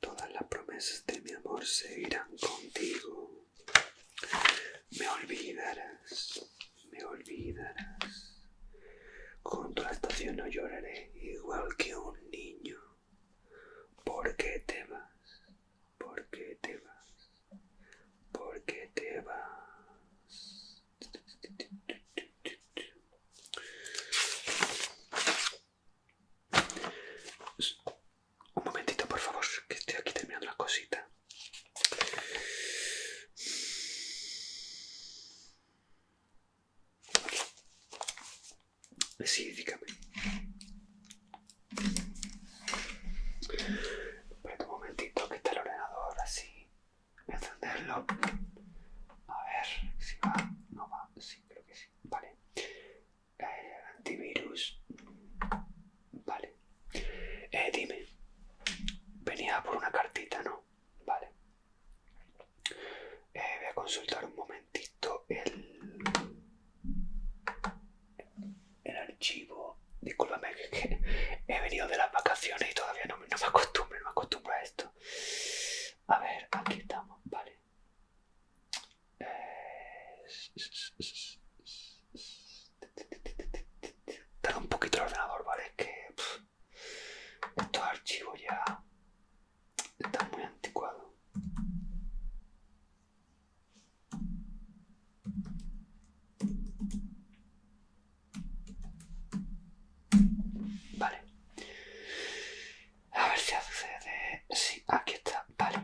Todas las promesas de mi amor seguirán contigo. Me olvidarás, me olvidarás. con tu la estación no lloraré igual que un niño. ¿Por qué te vas? ¿Por qué te vas? ¿Por qué te vas? Un momentito, por favor, que estoy aquí terminando la cosita. Sí, dígame. Espera un momentito que está el ordenador así. Encenderlo. A ver si va. No va. Sí, creo que sí. Vale. Eh, antivirus. Vale. Eh, dime. Venía por una cartita, ¿no? Vale. Eh, voy a consultar un momentito el, archivo. Discúlpame que he venido de las vacaciones y todavía no, me acostumbro, me acostumbro a esto. A ver, aquí estamos, vale. Eh... un poquito el ordenador, ¿vale? Es que estos archivos ya Está muy anticuado. Vale. A ver si accede. Sí, aquí está. Vale.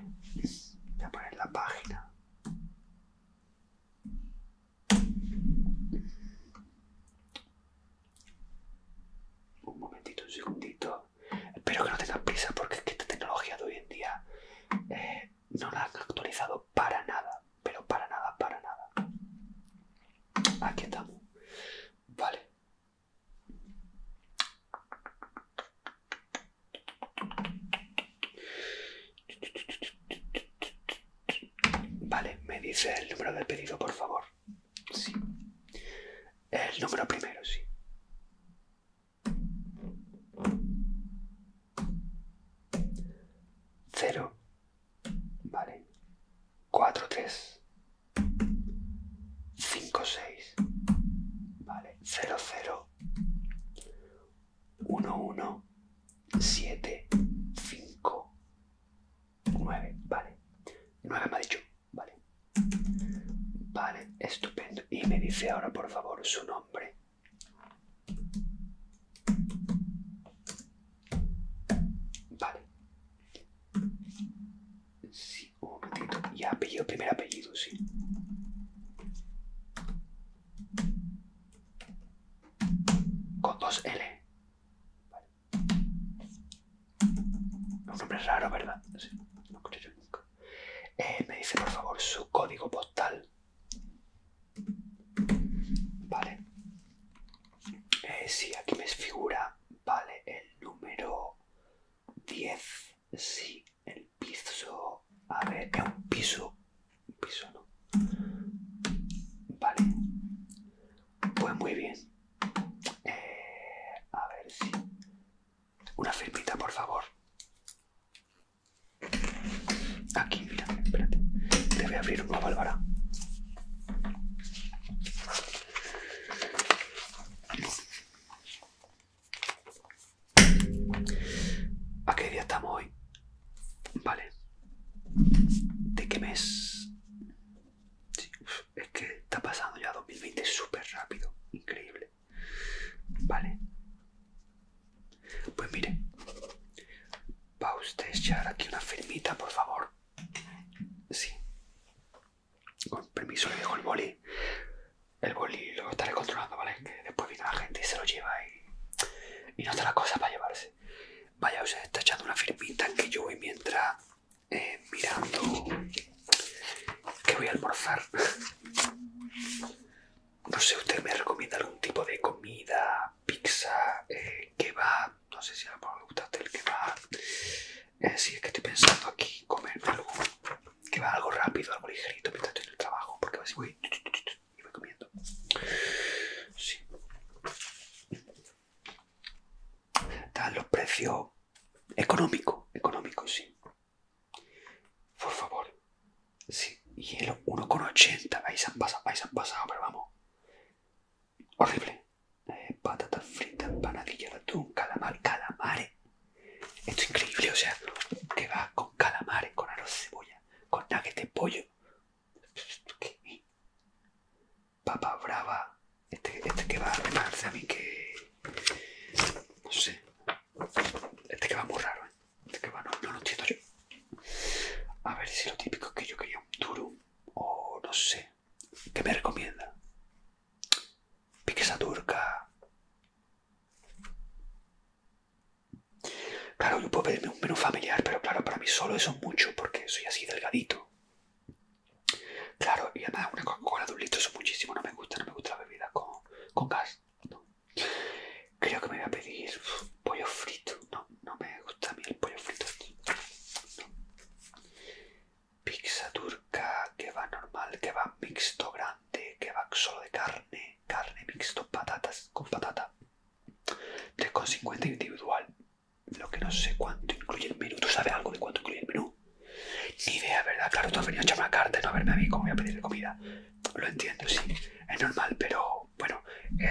Voy a poner la página. Un momentito, un segundito. Espero que no tengas prisa porque es que esta tecnología de hoy en día eh, no la han actualizado para nada. Pero para nada, para nada. Aquí estamos. Vale. Vale, me dice el número del pedido, por favor. Sí. El número primero, sí. Cero. Vale. Cuatro, tres. Cinco, seis. Vale. Cero, cero. Uno, uno. Siete. Cinco. 9, vale. 9 me ha dicho, vale. Vale, estupendo. Y me dice ahora, por favor, su nombre. Vale. Sí, un momentito. Y apellido, primer apellido, sí. Con dos L. Vale. Un nombre raro, ¿verdad? no yo nunca. Eh, me dice, por favor, su código postal. Vale. Eh, sí, aquí me figura, vale, el número 10. Sí, el piso. A ver, es un piso. Un piso, ¿no? Vale. Pues muy bien a ver si... Una firmita, por favor. Aquí, mira, espérate. Te voy a abrir una válvula. ¿A qué día estamos hoy? Vale. ¿De qué mes? es que está pasando ya 2020 súper rápido, increíble. Vale. Pues mire, va usted echar aquí una firmita, por favor. Sí. Con permiso le dejo el bolí El bolí lo estaré controlando, ¿vale? Que después viene la gente y se lo lleva y, y no está la cosa para llevarse. Vaya, usted está echando una firmita que yo voy mientras eh, mirando que voy a almorzar. No sé, usted me recomienda algún tipo de comida, pizza, ¿Qué eh, va? No sé si a lo mejor me gusta el que va. Eh, sí, es que estoy pensando aquí comer algo que va algo rápido, algo ligerito mientras estoy en el trabajo, porque así voy y voy comiendo. Sí. Dan los precios económicos, económicos, sí. Por favor. Sí, hielo 1,80. Ahí se han pasado, ahí se han pasado, pero vamos. Horrible. Eh, patatas fritas, empanadillas, ratón, calamares, calamar, calamares. Esto es increíble, o sea, que va con calamares, con arroz de cebolla, con nuggets de pollo, ¿Qué? Papa brava. Este, este, que va a parece a mí que... No sé. Este que va muy raro, ¿eh? Este que va no, lo entiendo yo. A ver si lo típico es que yo quería un turum o no sé. ¿Qué me recomienda? Piquesa turca. Claro, yo puedo pedirme un menú familiar, pero claro, para mí solo eso es mucho porque soy así delgadito. Claro, y además una Coca-Cola de un litro es muchísimo, no me gusta, no me gusta la bebida con, gas. Creo que me voy a pedir pollo frito. No, no me gusta a mí el pollo frito. aquí. Pizza turca, que va normal, que va mixto grande, que va solo de carne, carne mixto, patatas con patata. 3,50 individual. Lo que no sé cuánto incluye el menú. ¿Tú sabes algo de cuánto incluye el menú? Ni idea, ¿verdad? Claro, tú has venido a echarme la carta, no a verme a mí como voy a pedirle comida. Lo entiendo, sí. Es normal, pero bueno,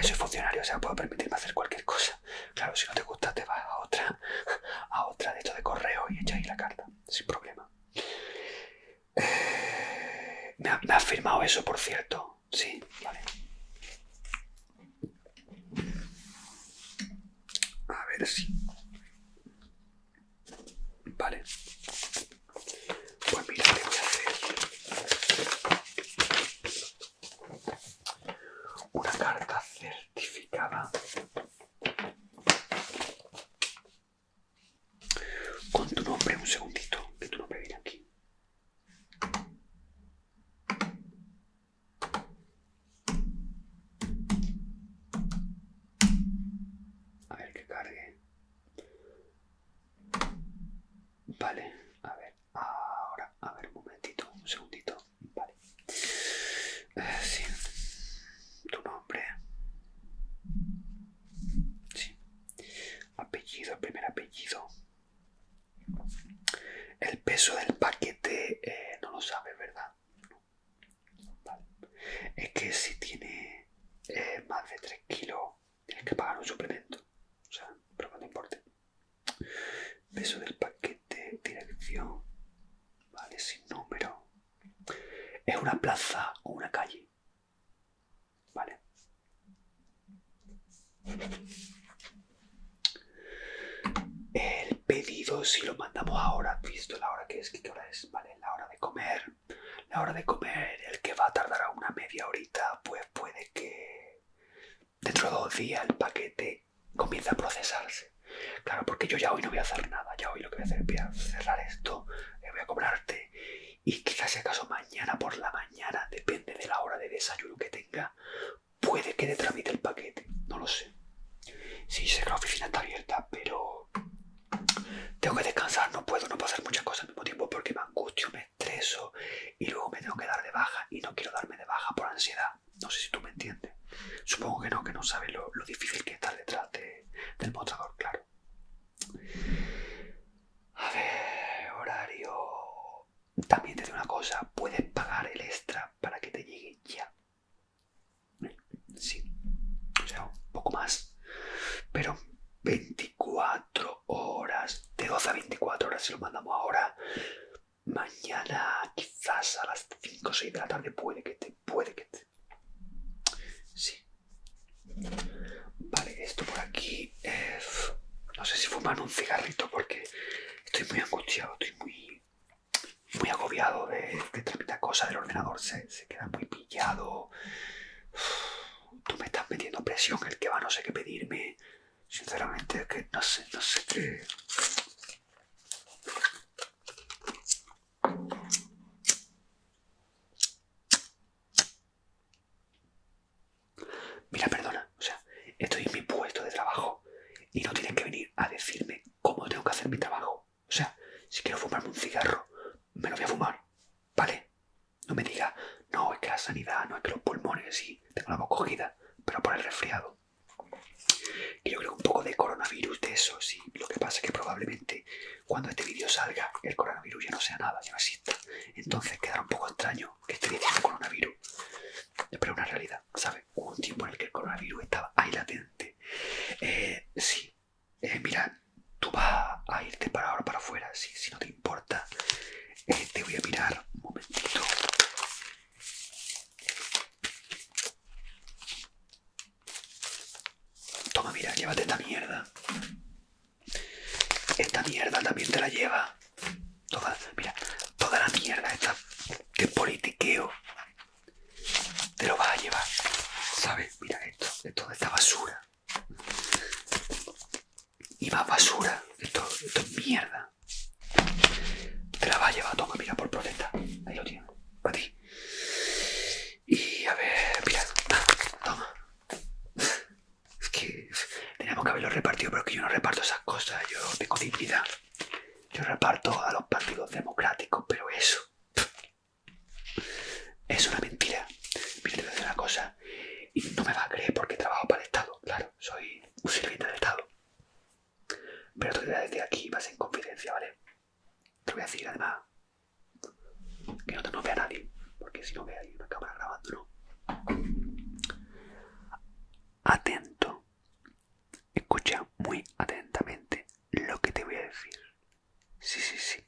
soy funcionario, o sea, puedo permitirme hacer cualquier cosa. Claro, si no te gusta, te vas a otra, a otra de esto de correo y echas ahí la carta, sin problema. Eh, me ha firmado eso, por cierto. Sí, vale. A ver si... Vale. Pues mira, te voy a hacer una carta certificada con tu nombre, un segundito, que tu nombre viene aquí. A ver que cargue. Vale, a ver, ahora, a ver, un momentito, un segundito. Vale. Eh, sí. Tu nombre. Sí apellido, el primer apellido. El peso del paquete eh, no lo sabe, ¿verdad? Es que si tiene eh, más de 3 kilos, tienes que pagar un suplemento. O sea, pero no importa. Peso del paquete, dirección, vale, sin número. ¿Es una plaza o una calle? El pedido, si lo mandamos ahora, visto la hora que es, ¿qué hora es? Vale, la hora de comer. La hora de comer, el que va a tardar a una media horita, pues puede que dentro de dos días el paquete comience a procesarse. Claro, porque yo ya hoy no voy a hacer nada. Ya hoy lo que voy a hacer es cerrar esto, eh, voy a cobrarte y quizás si acaso mañana por la mañana, depende de la hora de desayuno que tenga, puede que le tramite el paquete, no lo sé. Sí, sé que la oficina está abierta, pero tengo que descansar, no puedo, no pasar muchas cosas al mismo tiempo porque me angustio, me estreso y luego me tengo que dar de baja y no quiero darme de baja por ansiedad. No sé si tú me entiendes. Supongo que no, que no sabes lo, difícil que es estar detrás del mostrador, claro. A ver, horario. También te digo una cosa, puedes pagar el extra para que te llegue ya. Sí, o sea, un poco más. Pero 24 horas, de 12 a 24 horas si lo mandamos ahora. Mañana, quizás a las 5 o 6 de la tarde, puede que te, puede que te. Sí, Vale, esto por aquí es... No sé si fuman un cigarrito porque estoy muy angustiado, estoy muy, muy agobiado de, de cosa cosas del ordenador, se, queda muy pillado. tú me estás metiendo presión, el que va no sé qué pedirme. Sinceramente que no sé, no sé qué... Mira, perdona, o sea, estoy en mi puesto de trabajo y no tienes que venir a decirme cómo tengo que hacer mi trabajo. O sea, si quiero fumarme un cigarro, me lo voy a fumar, ¿vale? No me diga, no, es que la sanidad, no es que los pulmones, y tengo la voz cogida, pero por el resfriado. Y yo creo que un poco de coronavirus de eso, sí. Lo que pasa es que probablemente cuando este vídeo salga, el coronavirus ya no sea nada, ya no exista. Entonces quedará un poco extraño que esté diciendo coronavirus. Pero es una realidad, ¿sabes? Hubo un tiempo en el que el coronavirus estaba ahí latente. Eh, sí, eh, mira, tú vas a irte para ahora para afuera, si, si no te importa. Eh, te voy a mirar un momentito. Toma, mira, llévate esta mierda. Esta mierda también te la lleva. Toda, mira, toda la mierda esta de politiqueo te lo vas a llevar. ¿Sabes? Mira esto, de toda esta basura. Y más basura. Esto, esto es mierda. Te la vas a llevar, toma, mira, por protesta. Ahí lo tienes. Para ti. Y a ver, mira, toma. Es que teníamos que haberlo repartido, pero que yo no reparto esas cosas. Yo tengo dignidad. Yo reparto a los partidos democráticos, pero eso es una mentira. Mira, te voy a decir una cosa. Y no me vas a creer porque trabajo para el Estado. Claro, soy un sirviente del Estado. Pero te voy a decir aquí, vas en confidencia, ¿vale? Te voy a decir además que no, te, no vea nadie, porque si no ve ahí una cámara grabándolo. Atento, escucha muy atentamente lo que te voy a decir. Sí, sí, sí,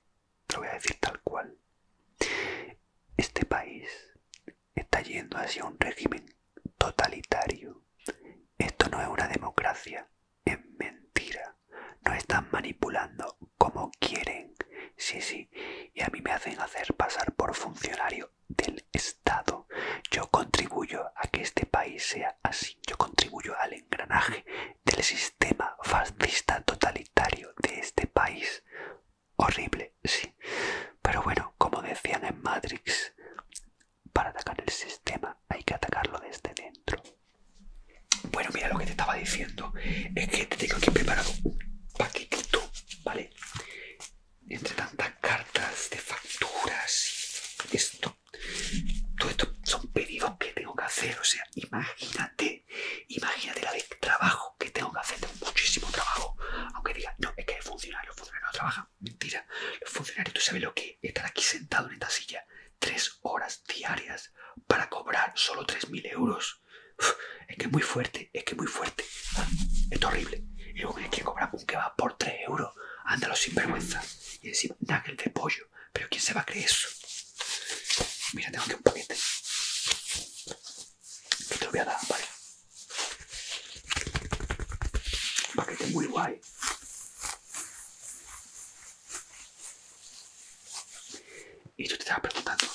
te lo voy a decir tal cual. Este país está yendo hacia un régimen totalitario. Esto no es una democracia, en mentira. No están manipulando como quieren. Sí, sí. Y a mí me hacen hacer pasar por funcionario del Estado. Yo contribuyo a que este país sea así. Yo contribuyo al engranaje del sistema fascista totalitario de este país. Horrible, sí. Pero bueno, como decían en Matrix, para atacar el sistema hay que atacarlo desde dentro. Bueno, mira lo que te estaba diciendo. Es que te tengo aquí preparado un paquetito, ¿vale? Entre tantas cartas de facturas esto. Todo esto son pedidos que tengo que hacer. O sea, imagínate, imagínate la vez, trabajo que tengo que hacer. Tengo muchísimo trabajo. Aunque diga, no, es que hay funcionarios, los funcionarios no trabajan. Mentira, los funcionarios, tú sabes lo que estar aquí sentado en esta silla tres horas diarias para cobrar solo 3.000 euros. es que es muy fuerte, es que es muy fuerte. Es horrible. Y luego tienes que cobrar un va por 3 euros. Ándalo sin vergüenza. Y decir nugget de pollo. Pero ¿quién se va a creer eso? Mira, tengo aquí un paquete. Que te lo voy a dar, ¿vale? Un paquete muy guay. Y tú te estabas preguntando,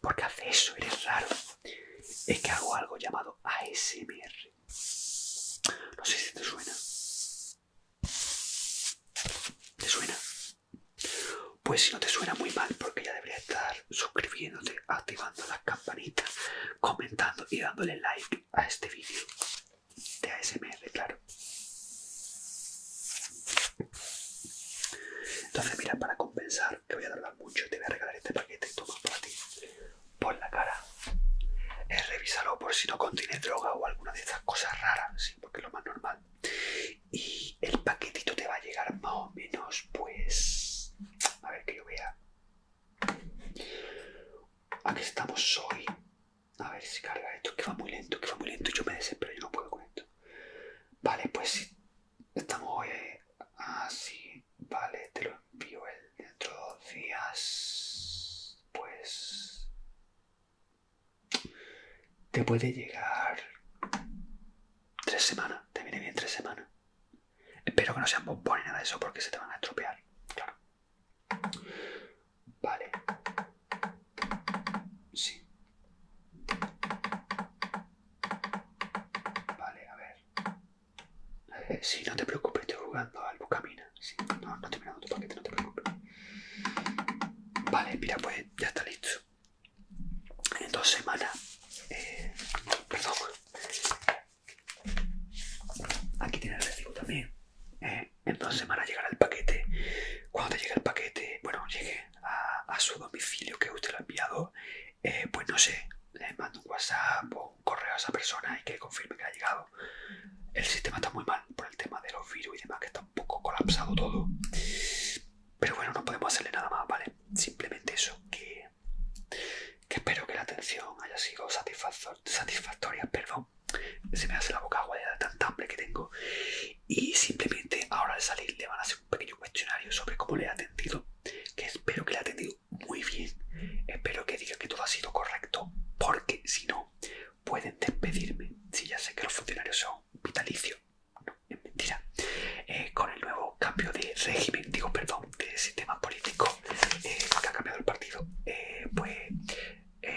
¿por qué hace eso? Eres raro. Es que hago algo llamado ASMR. No sé si te suena. ¿Te suena? Pues si no te suena muy mal, porque ya deberías estar suscribiéndote, activando las campanitas, comentando y dándole like a este vídeo de ASMR, claro. Entonces, mira, para compensar, que voy a tardar mucho, te voy a regalar este paquete, toma para ti, por la cara. Eh, revísalo por si no contiene droga o alguna de esas cosas raras, porque es lo más normal. Y el paquetito te va a llegar más o menos, pues, a ver que yo vea, Aquí estamos hoy. A ver si carga esto, que va muy lento, que va muy lento. Yo me desespero, yo no puedo con esto. Vale, pues estamos hoy eh, así. Ah, vale, te lo envío el dentro de dos días. Pues te puede llegar tres semanas. Te viene bien tres semanas. Espero que no sean bombones nada de eso porque se te van a estropear. Claro. Vale. Sí. Vale, a ver. Eh, si, no te preocupes, estoy jugando al camina, Sí, no, no estoy mirando tu paquete, no te preocupes. Vale, mira, pues ya está listo. En dos semanas, eh, perdón, Aquí tiene el recibo también. Eh, entonces en dos a llegar el paquete. Cuando te llegue el paquete, bueno, llegue a, su domicilio que usted lo ha enviado, eh, pues no sé, le mando un WhatsApp o un correo a esa persona y que confirme que ha llegado. El sistema está muy mal por el tema de los virus y demás, que está un poco colapsado todo. Pero bueno, no podemos hacerle nada más, ¿vale? Simplemente eso, que que espero que la atención haya sido satisfactoria, perdón, se me hace la boca agua de tanta hambre que tengo y simplemente ahora al salir le van a hacer un pequeño cuestionario sobre cómo le he atendido, que espero que le he atendido muy bien, espero que diga que todo ha sido correcto, porque si no, pueden despedirme, si ya sé que los funcionarios son vitalicios, no, es mentira, eh, con el nuevo cambio de régimen, digo perdón, de sistema político, eh, que ha cambiado el partido, pues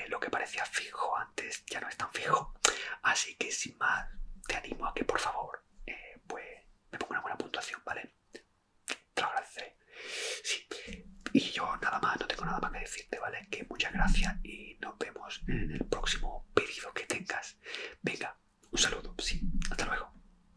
lo que parecía fijo antes ya no es tan fijo. Así que sin más, te animo a que por favor, pues me ponga una buena puntuación, ¿vale? Te lo agradeceré. Y yo nada más, no tengo nada más que decirte, ¿vale? Que muchas gracias y nos vemos en el próximo pedido que tengas. Venga, un saludo, sí, hasta luego.